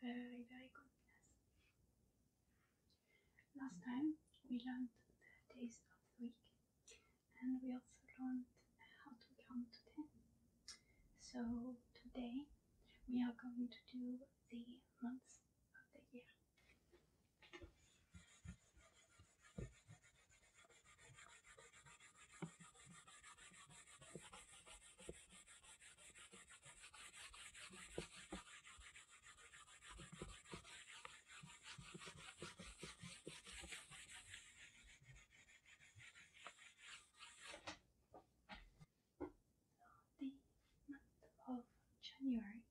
Very, very good, Last time we learned the days of the week and we also learned how to count to 10. So today we are going to do the months of the year the month of January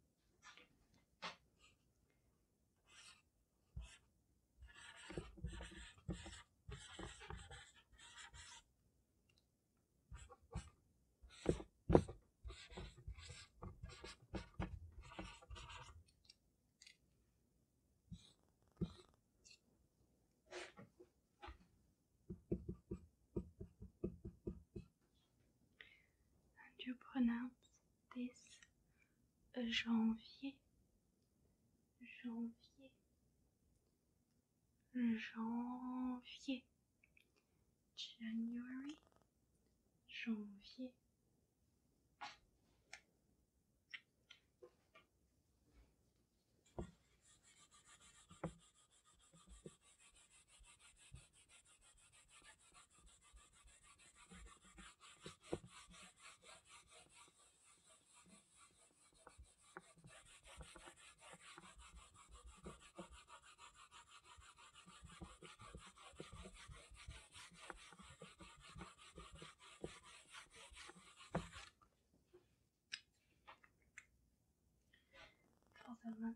and you pronounce this Euh, janvier, janvier, janvier, January, janvier. for the month February.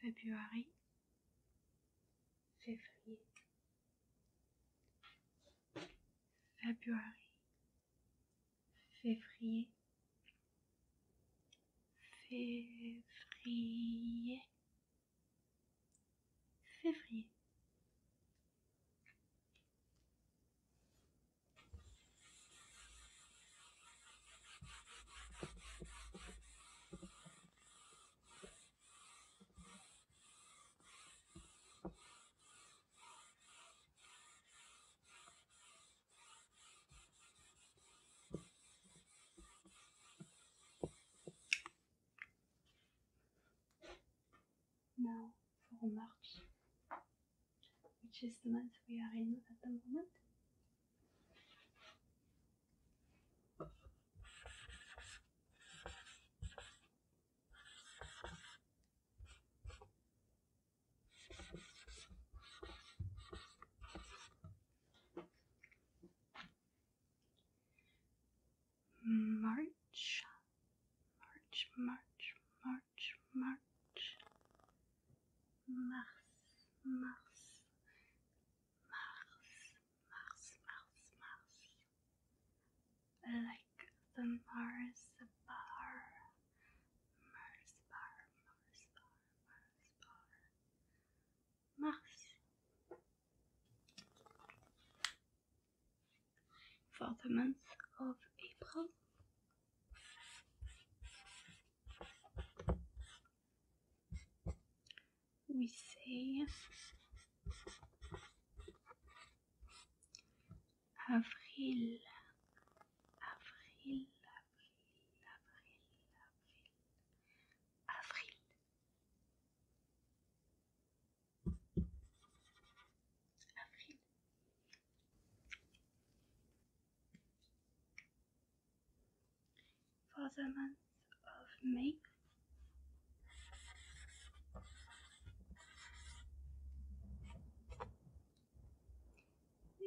février, février, février, février, février. Now for March, which is the month we are in at the moment. March, March, March, March, March, Mars, Mars, Mars, Mars, Mars, Mars. Like the Mars bar. Mars bar, Mars bar, Mars bar. Mars. For the month of April. avril, avril, avril, avril, avril, avril, avril for the month of May.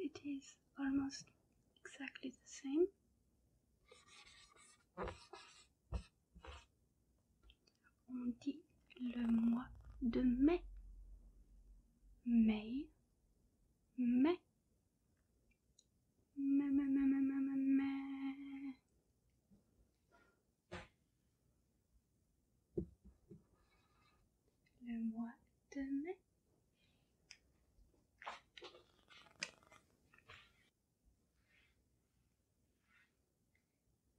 It is almost exactly the same. On dit le mois de mai. Mai. Mai. Meh, meh, meh, meh, meh, meh, meh. Le mois de mai.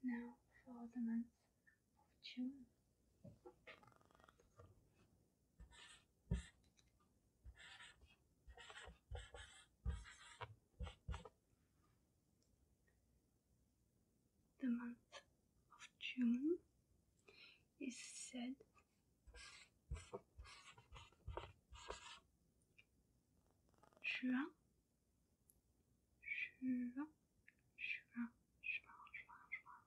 Now for the month of June. The month of June is said Juin, Juin, Juin, Juin, Juin,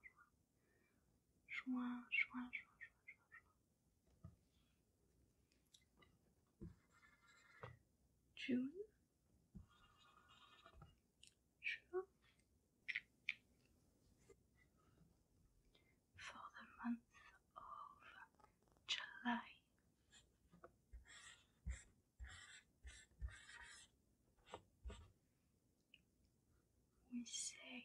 Juin, Schwa, schwa, schwa, schwa, schwa, schwa. June. For the month of July. We say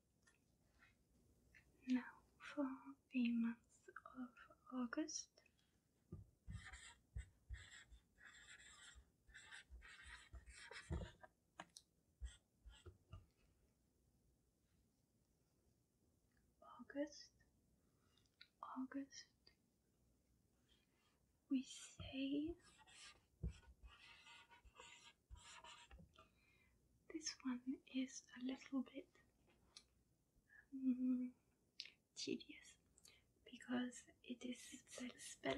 Now for the month of August. August, August, we say this one is a little bit mm, tedious because it is spelled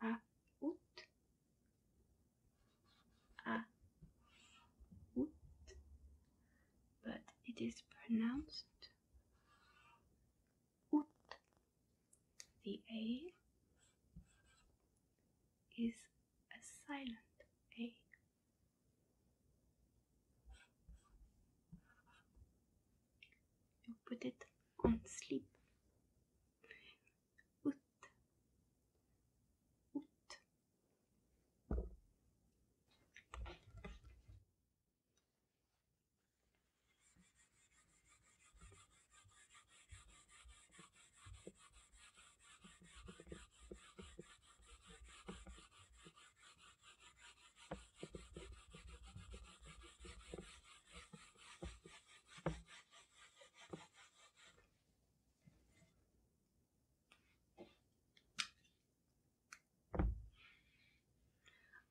a ut a ut, but it is pronounced ut the A is a silent A. You put it on sleep. Ut. Ut.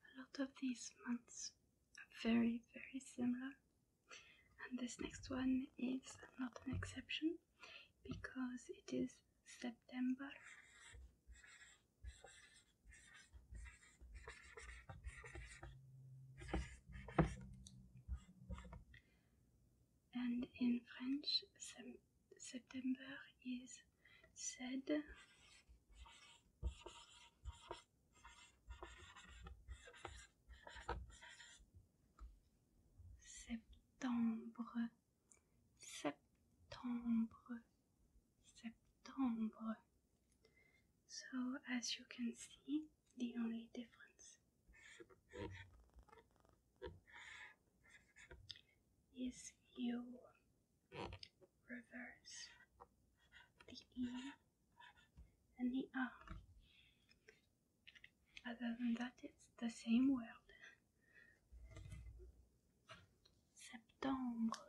A lot of these months are very, very similar and this next one is not an exception because it is September. And in French, September is said Septembre, Septembre, Septembre. So, as you can see, the only difference is you reverse the E and the uh, Other than that, it's the same word. Septembre.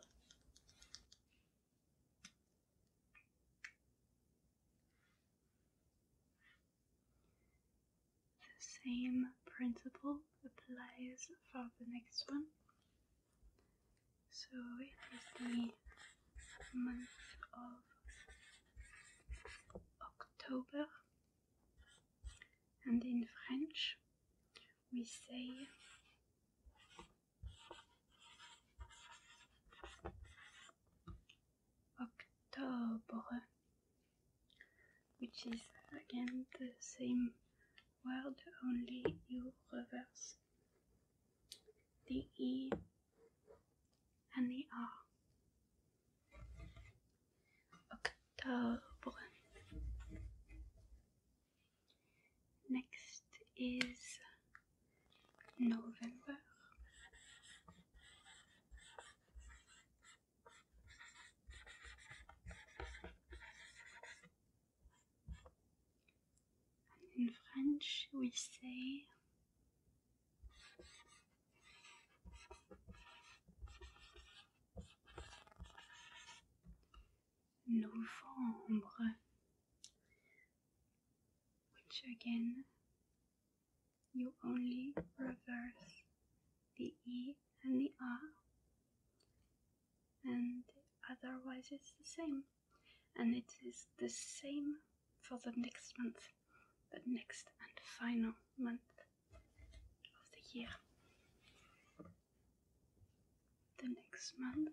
The same principle applies for the next one. So it is the month of October, and in French we say Octobre, which is again the same word, only you reverse the E, and the R. October. Next is November. And in French, we say. Novembre, which again you only reverse the E and the R, and otherwise it's the same and it is the same for the next month, the next and final month of the year. The next month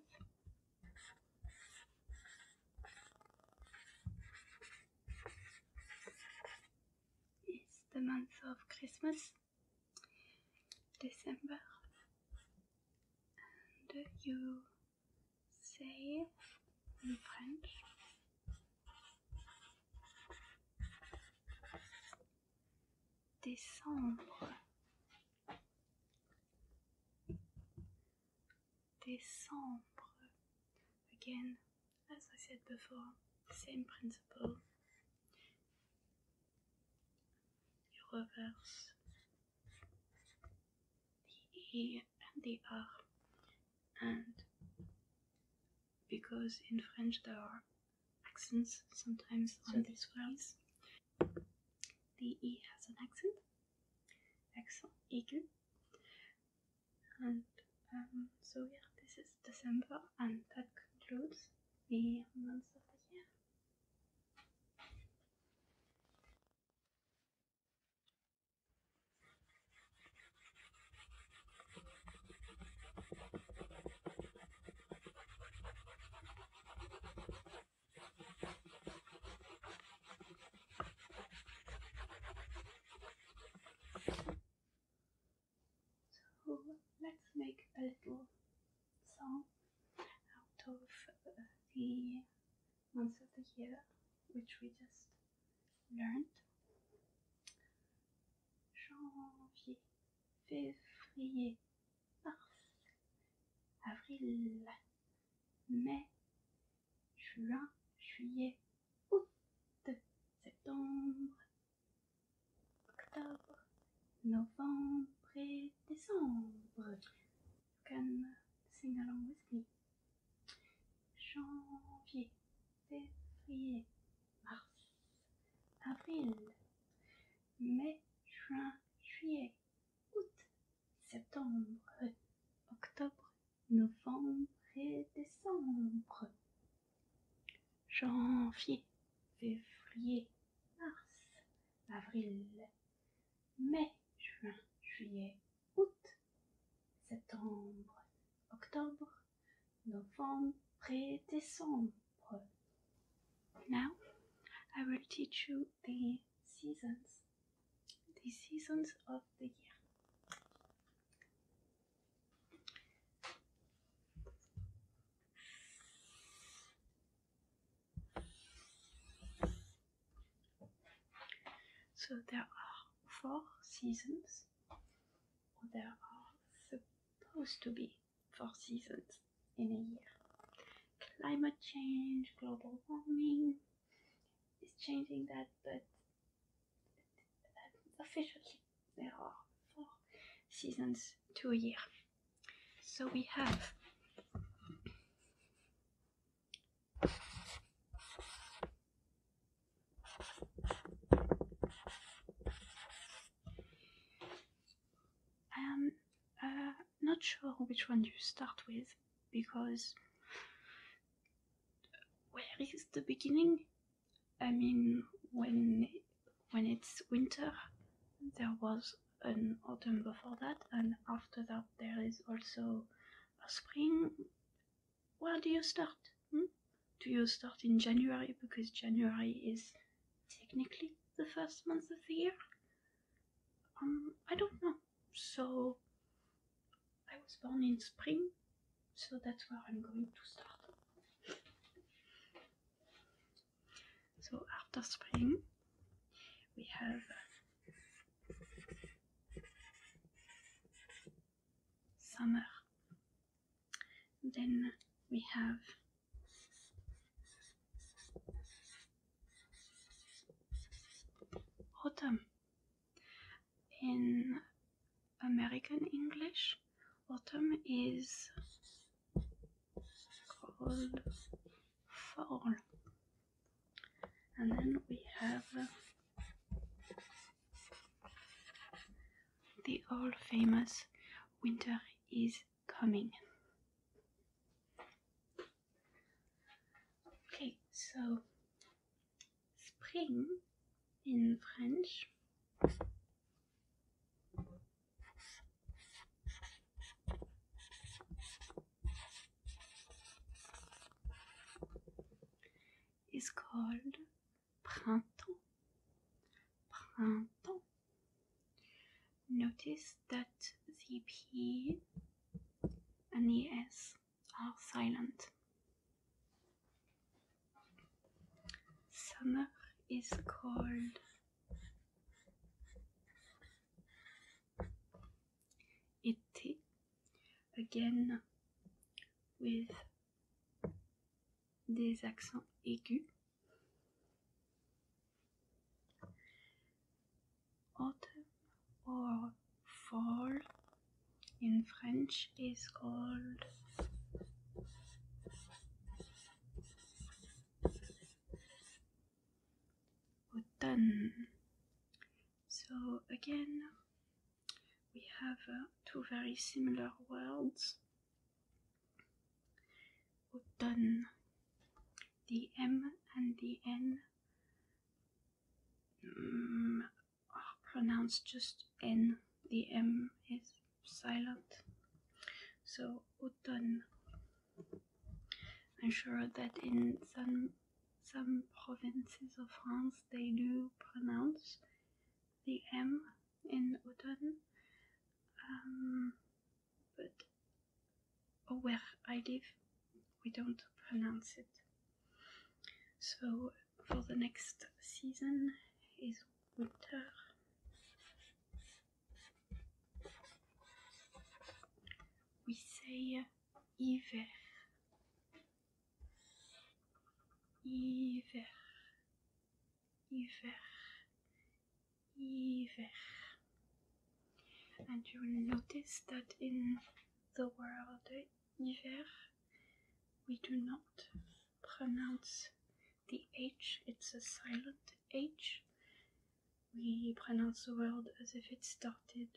is the month of Christmas, December, and you say French. Décembre. Décembre. Again, as I said before, same principle. reverse the E and the R. And because in French there are accents sometimes on these words, the E has an accent, accent aigu. And um, so yeah, this is December and that concludes the months of the year. So let's make a little song. out of uh, the months of the year which we just learned. Janvier, février, mars, avril, mai, juin, juillet, août, septembre, octobre, novembre et décembre. Janvier, février, mars, avril, mai, juin, juillet, août, septembre, octobre, novembre et décembre. Janvier, février, mars, avril, mai, juin, juillet, août, septembre, octobre, novembre, décembre. Now, I will teach you the seasons, the seasons of the year. So there are four seasons, there are supposed to be four seasons in a year. Climate change, global warming is changing that, but officially there are four seasons to a year. So we have I'm um, uh, not sure which one you start with because where is the beginning? I mean, when when it's winter, there was an autumn before that, and after that there is also a spring. Where do you start? Hmm? Do you start in January because January is technically the first month of the year? Um, I don't know. So I was born in spring, so that's where I'm going to start. So after spring, we have summer. Then we have autumn. In American English, autumn is called Far. And then we have the old famous Winter is Coming. Okay, so spring in French is called printemps. Printemps. Notice that the P and the S are silent. Summer is called été again with des accents aigus autumn or fall in French is called autumn. So again, we have uh, two very similar words. Autumn, the M and the N mm, are pronounced just N. The M is silent. So autumn. I'm sure that in some some provinces of France they do pronounce the M in autumn, um, but oh, where I live, we don't pronounce it. So for the next season is winter. We say uh, hiver. Hiver. Hiver. Hiver. And you will notice that in the word hiver, we do not pronounce the H, it's a silent H. We pronounce the word as if it started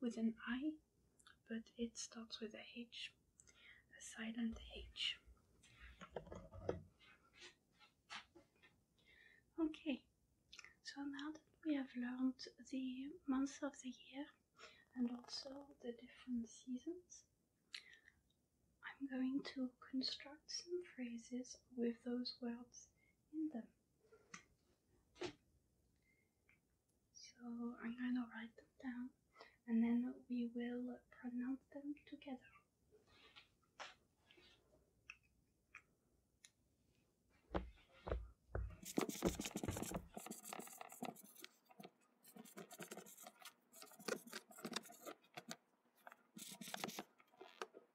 with an I, but it starts with a H, a silent H. Okay, so now that we have learned the months of the year and also the different seasons, I'm going to construct some phrases with those words in them. So I'm gonna write them down and then we will pronounce them together.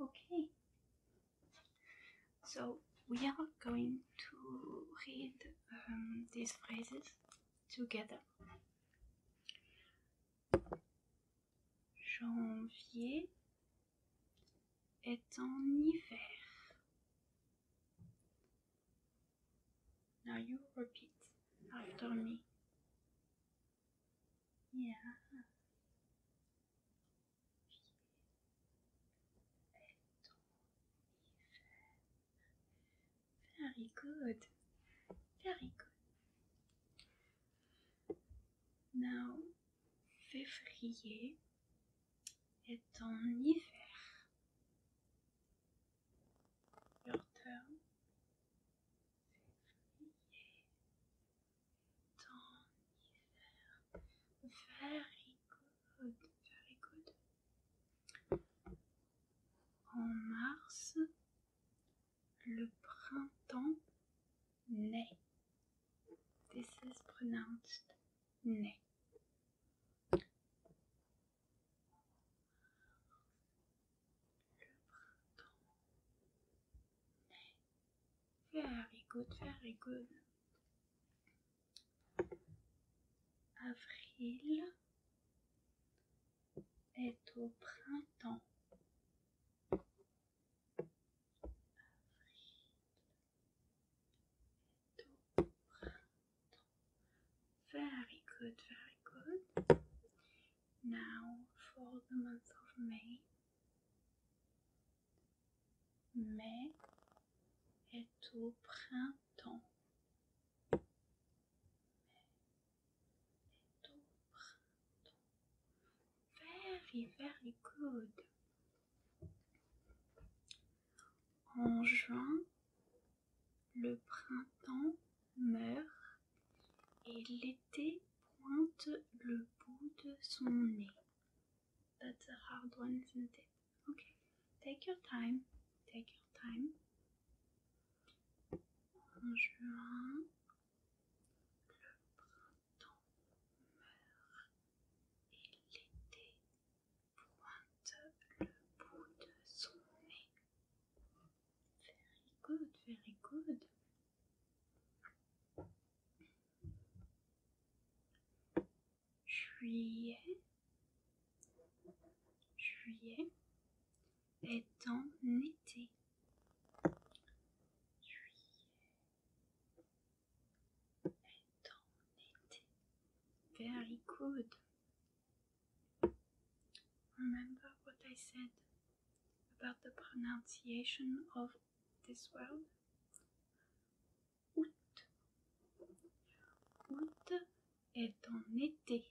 Okay, so we are going to read um, these phrases together. Janvier est en hiver. Now you repeat after me. Yeah. Very good. Very good. Now, février est en hiver. Your turn. Février est en hiver. Very good, very good. En mars, le printemps naît. This is pronounced naît. Le printemps naît. Very good, very good. Avril est au printemps. Very good, very good. Now for the month of May. Mai est au printemps. Very, very good. En juin, le printemps meurt et l'été pointe le bout de son nez. That's a hard one, isn't it? Okay, take your time, take your time. En juin, le printemps meurt et l'été pointe le bout de son nez. Very good, very good. Juillet, juillet est en été. Very good. Remember what I said about the pronunciation of this word? Août. Août est en été.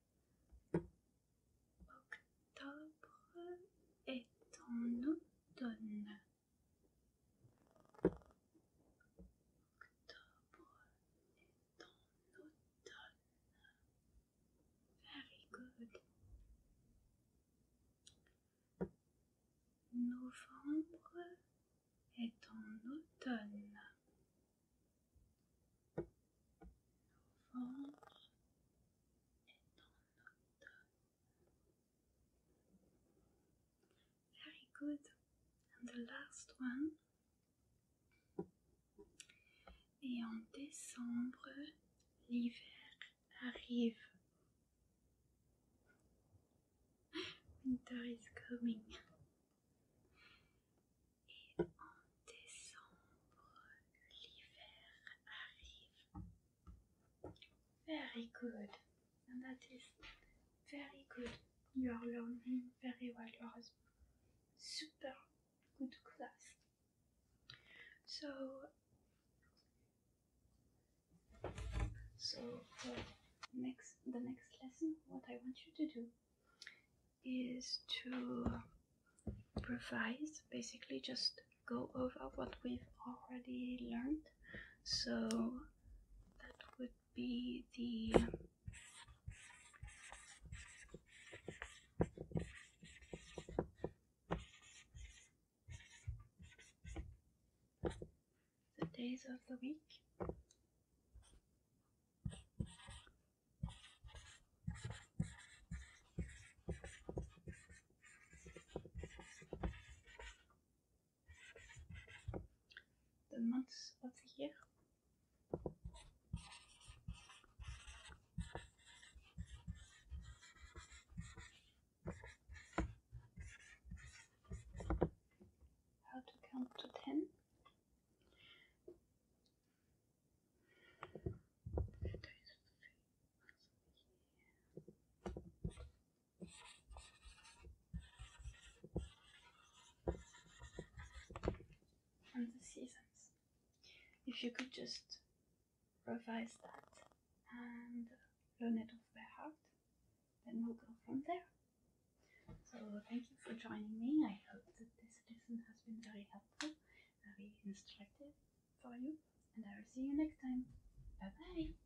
Octobre est en automne. Octobre est en automne. Very good. Novembre est en automne est en Very good. And the last one. Et en décembre, l'hiver arrive. Winter is coming. Et en décembre, l'hiver arrive. Very good. And that is very good. You are learning very well. You super good class. So, so uh, next the next lesson, what I want you to do is to revise, basically just go over what we've already learned. So that would be the days of the week the months of the year. How to count to ten. And the seasons. If you could just revise that and learn it off by heart, then we'll go from there. So thank you for joining me. I hope that this lesson has been very helpful, very instructive for you, and I will see you next time. Bye bye.